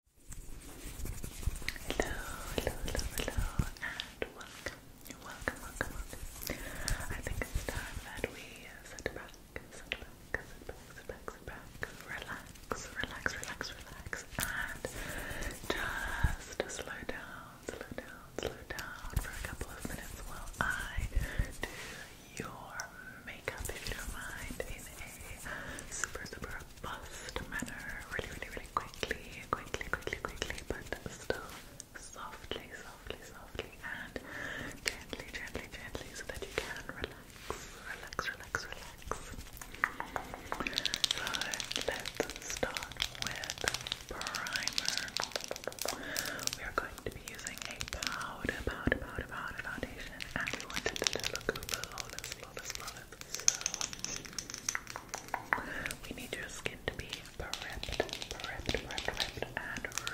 Hello, hello, hello, hello, and welcome, welcome, welcome, welcome. I think it's time that we sit back, sit back, sit back, sit back, sit back, relax, relax, relax, relax, and just slow down, slow down, slow down for a couple of minutes while I do your makeup, if you don't mind, in a super, super fast manner, really, really, really quickly, quickly, quickly, quickly, but still softly, softly, softly, and gently, gently, gently, so that you can relax, relax, relax, relax. So let's start with primer. We are going to be using a powder, powder, powder, powder foundation, and we want it to look flawless, flawless, flawless. So we need your skin to be prepped, prepped, prepped, and ready,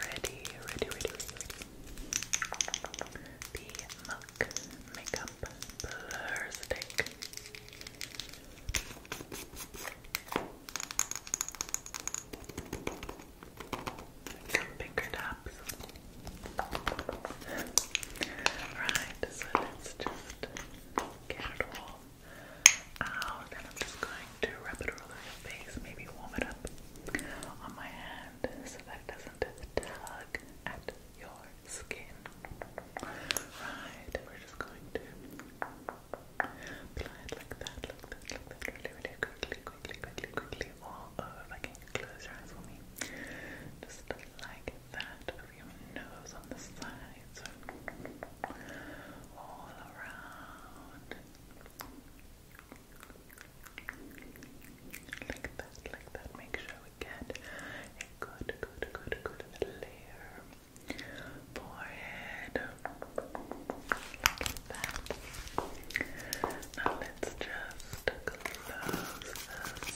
ready, ready, ready, The Muck Makeup Blur Stick. Come pick it up tops. Right, so let's just get it all out, and I'm just going to rub it all your face, maybe warm it up on my hand so that doesn't tug at your skin. Right, we're just going to apply like that, like that, like that, really, really quickly, quickly, quickly, quickly, all over. If I can close your eyes for me, just like that your nose on the sides, so all around. Like that, like that. Make sure we get a good, good, good, good layer. Forehead. Like that. Now let's just close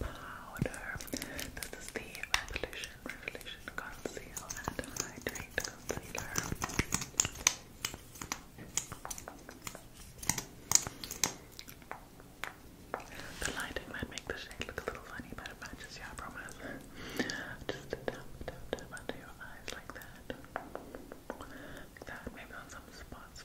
powder. This is the Revolution Revolution Conceal and Hydrate Concealer. The lighting might make the shade look a little funny, but it matches you, I promise. Just tap, tap, tap under your eyes like that. that, maybe on some spots.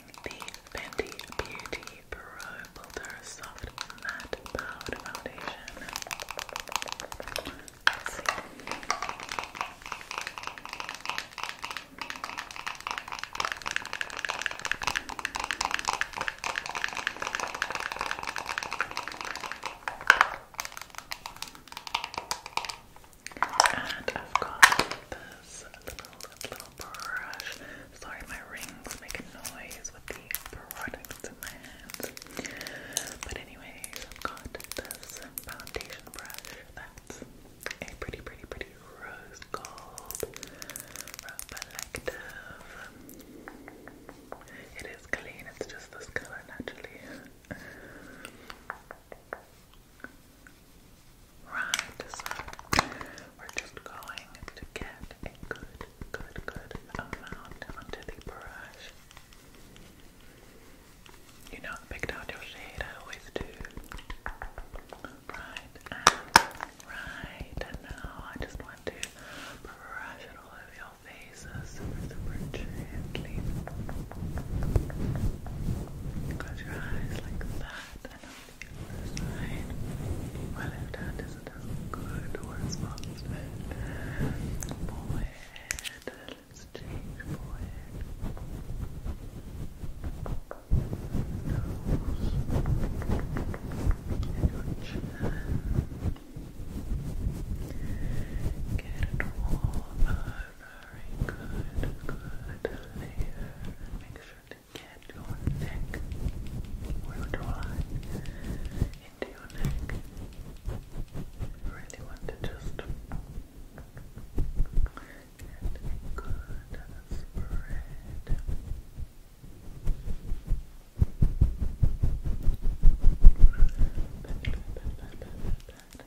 the Fenty Beauty Pro Builder Soft Matte Powder Foundation. And I've got this little, little brush. Sorry, my rings make a noise with the products in my hands. But anyways, I've got this foundation brush that's a pretty, pretty, pretty rose gold reflective. It is clean, it's just this color naturally. Right, so we're just going to get a good, good, good amount onto the brush. You know, picked out your shade, I always do. Right, right, now I just want to brush it all over your face super, super gently. Close your eyes like that and on the other side. My left hand is it doesn't go towards my Let's change forehead. Nose. And your chin. Get it all very good, good. Make sure to get your neck or your jawline into your neck. You really want to just get a spread.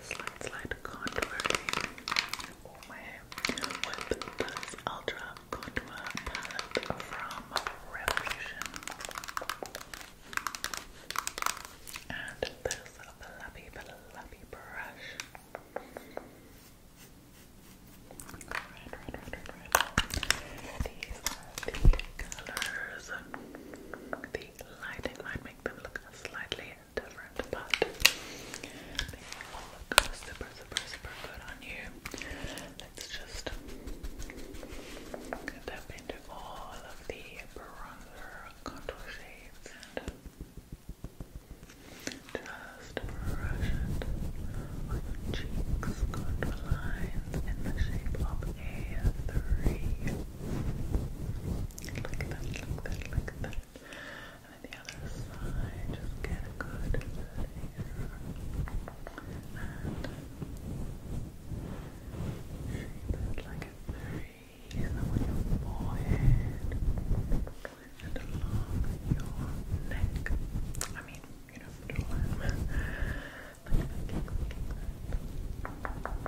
slide, slide contouring. Oh my with this Ultra Contour palette from Revolution. And this fluffy, fluffy brush. These are the colors. The lighting might make them look slightly different, but they all look super, super, super good on you. Let's just tap into all of the bronzer contour shades and just brush it on your cheeks, contour lines in the shape of a three. Like that, like that, like that. And then the other side, just get a good here. And shape it like a three. And on your forehead. And along your neck. I mean, you know, the line. like that, like that.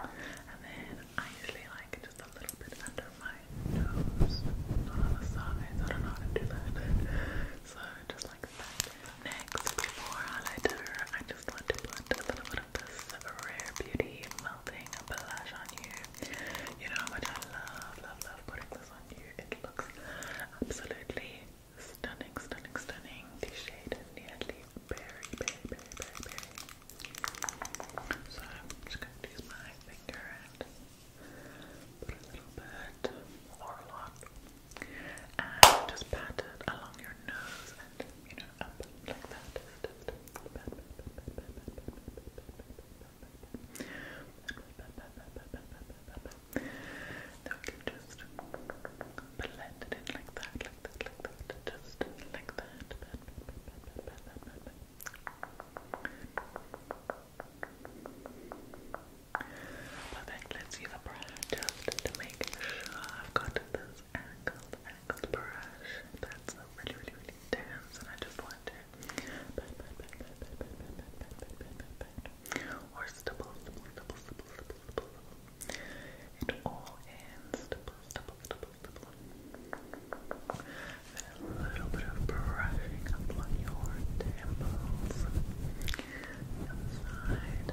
And then I usually like just a little bit under my nose, not on the sides. I don't know how to do that. So just like that. Next, before highlighter, I just want to put a little bit of this Rare Beauty melting blush on you. You know how much I love, love, love putting this on you. It looks absolutely stunning, stunning, stunning. The shade nearly berry, berry, berry, so I'm just going to use my finger and put a little bit or a lot and just pat it along your nose and you know up like that. Then we can just blend it in like that, like that, like that, just like that. Bad, bad, let's use a brush just to make sure I've got this angled, angled brush that's really, really, really dense and I just want to pat, pat, pat, pat, pat, pat, pat, pat, pat, pat, pat, pat or stipple, stipple, stipple, stipple, stipple, stipple, stipple it all in stipple, stipple, stipple, and a little bit of brushing up on your temples. The side.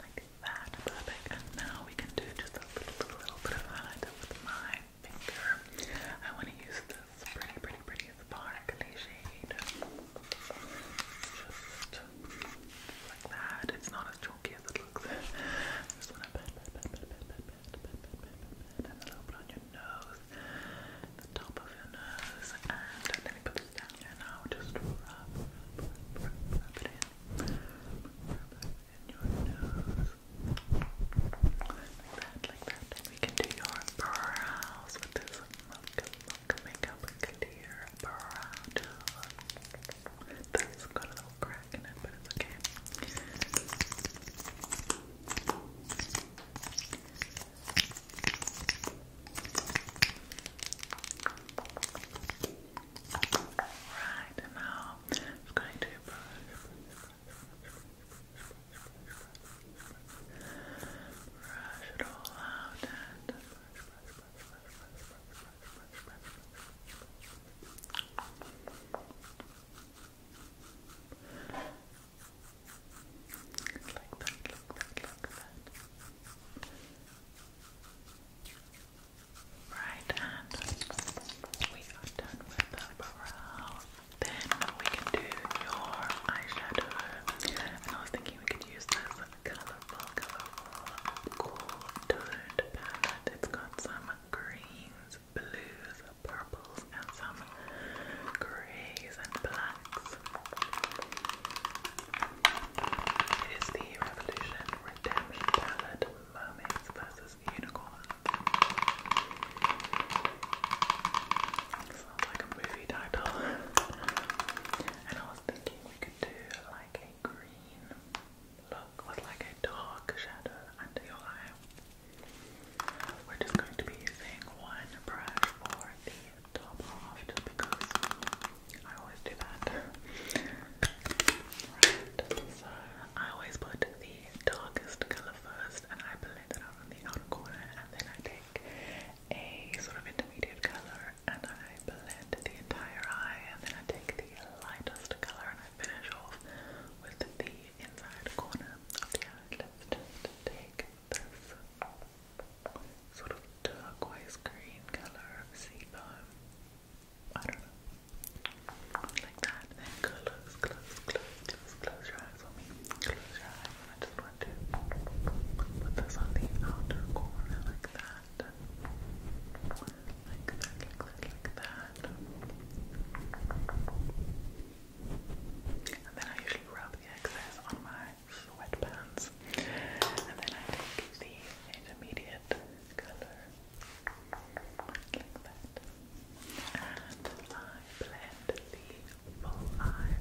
Like that. And now we can do just a little, little bit of highlighter with my finger. I want to use this pretty, pretty, pretty sparkly shade. Just like that. It's not as chalky as it looks. Just wanna pat, pat, pat, pat, pat, pat, pat, pat, pat, pat, pat, and a little bit on your nose, the top of your nose, and let me put this down here now. Just rub, rub, rub, rub it in, rub it in your nose, like that, like that. And we can do your brows with this. Look, look, makeup clear brow too. that a little crack in it, but it's okay. Right now, I'm going to brush, brush it all out and like that, like that, like that. Right, and we are done with the brow. Then we can do your eyeshadow. And I was thinking we could use this colorful, colorful, cool toned palette. It's got some greens, blues, purples, and some greys and blacks. It is the Revolution Redemption palette, Mermaids versus Unicorns. Sounds like a movie title. And I was thinking we could do like a green look with like a dark shadow under your eye. We're just going to be using one brush for the top half just because I always do that. Right, so I always put the darkest colour first and I blend it out on the outer corner and then I take a sort of intermediate colour and I blend the entire eye and then I take the lightest colour and I finish off with the inside corner of the eye. let take this sort of turquoise green colour sea foam. Like that. then close, close, close, close your eyes for me. Close your eyes I just want to put this on the outer corner like that that. Like that, like that, like that. And then I usually rub the excess on my sweatpants. And then I take the intermediate color, like that. And I blend the full eye.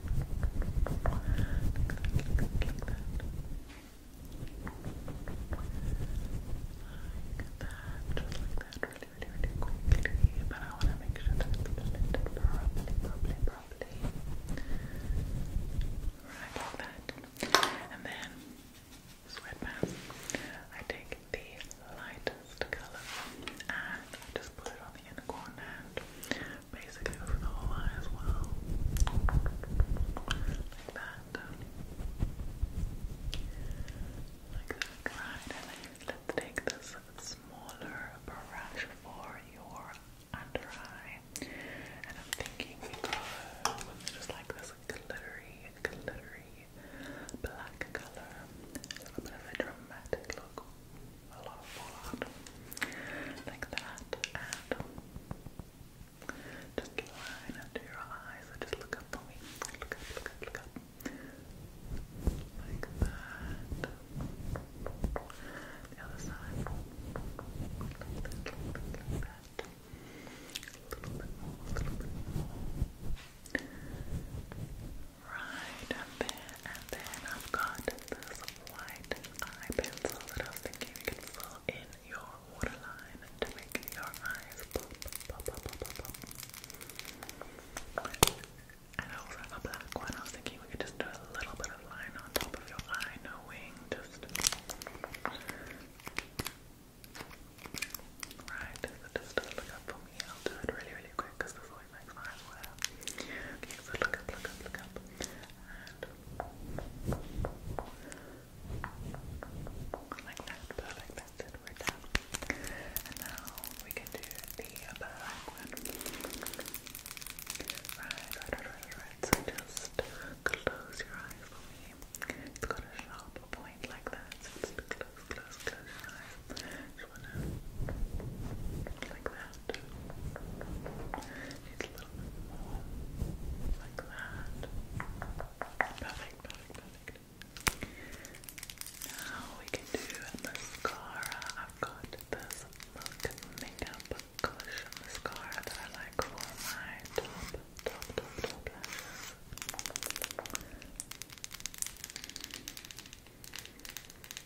like that. Like that, just like that, really, really, really quickly. But I want to make sure that it's blended properly, properly, properly. Right, like that. And then, sweatpants. I take the lightest color and I just put it on the inner corner and basically over the whole eye as well. Like that. let's take this smaller brush for your under eye. And I'm thinking we go with just like this glittery, glittery black color. a bit of a dramatic look, a lot of fallout. Like that. And just keep under your eyes just look up for me. Look up, look up, look up. The other side. Right, and then, and then I've got this white eye pencil I was thinking you can fill in your waterline to make your eyes pop, pop, pop, pop, pop, pop. And I also have a black one. I was thinking we could just do a little bit of line on top of your eye, no wing, just. Right, just look up for me. I'll do it really, really quick because this always makes my eyes well. Okay, so look up, look up, look up. Like that, perfect. That's it, we're done. And now we can do the black one. Right, right, right, right, just close your eyes for me. It's got a sharp point like that. just close, close, close your eyes. Just like that that. Need a little more. Like that. Perfect, perfect, perfect. Now we can do mascara. I've got this Look Makeup Collision mascara that I like for my top, top, top, top lashes.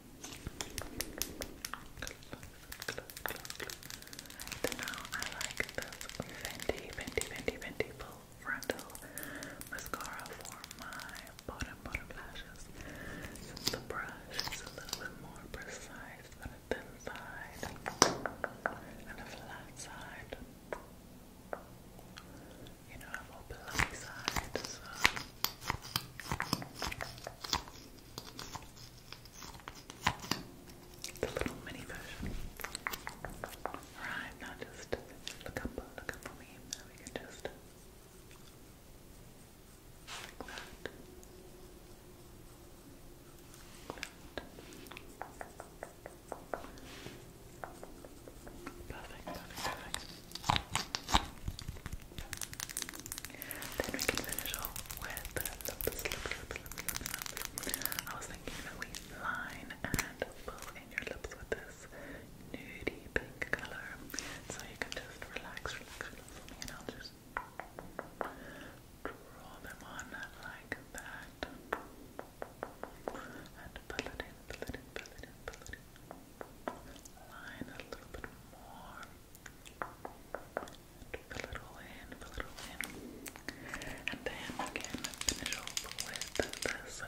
Then now I like this Fenty, Fenty, Fenty, Fenty full frontal mascara for my bottom, bottom lashes. the brush is a little bit more precise than a thin side and a flat side. You know, I'm a below side, so the little mini version. Right, now just look up, look up for me. Now we can just like that. perfect, perfect. Then we can finish off with the lips, lips, I was thinking that we line and pull in your lips with this nudie pink color. So you can just relax, relax, and I'll just draw them on like that. And pull it in, pull it in, pull it in, pull it in line a little bit more. Fill it all in, fill it all in. And then again, finish off with this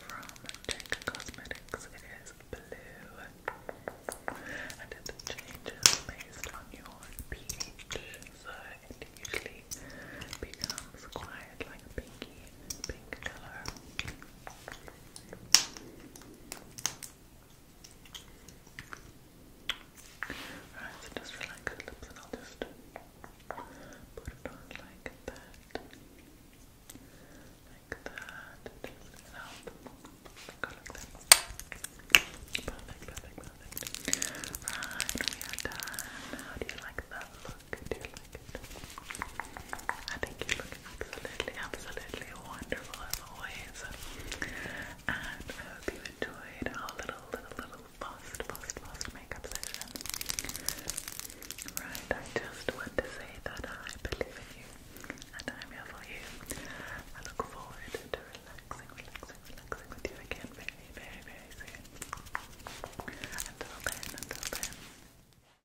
from Check Cosmetics. It is blue. And it changes based on your peach. So it usually becomes quite like pinky pink color. Alright, just relax lips and i just put it on like that. Like that. Just help. Go like that. Perfect, perfect, perfect. Right, we are done. How do you like that look? Do you like I think you look absolutely, absolutely wonderful as always. And I hope you enjoyed our little, little, little fast, fast, fast makeup session. Right, I just want to say that I believe in you and I'm here for you. I look forward to relaxing, relaxing, relaxing with you again very, very, very soon. Until then, until then.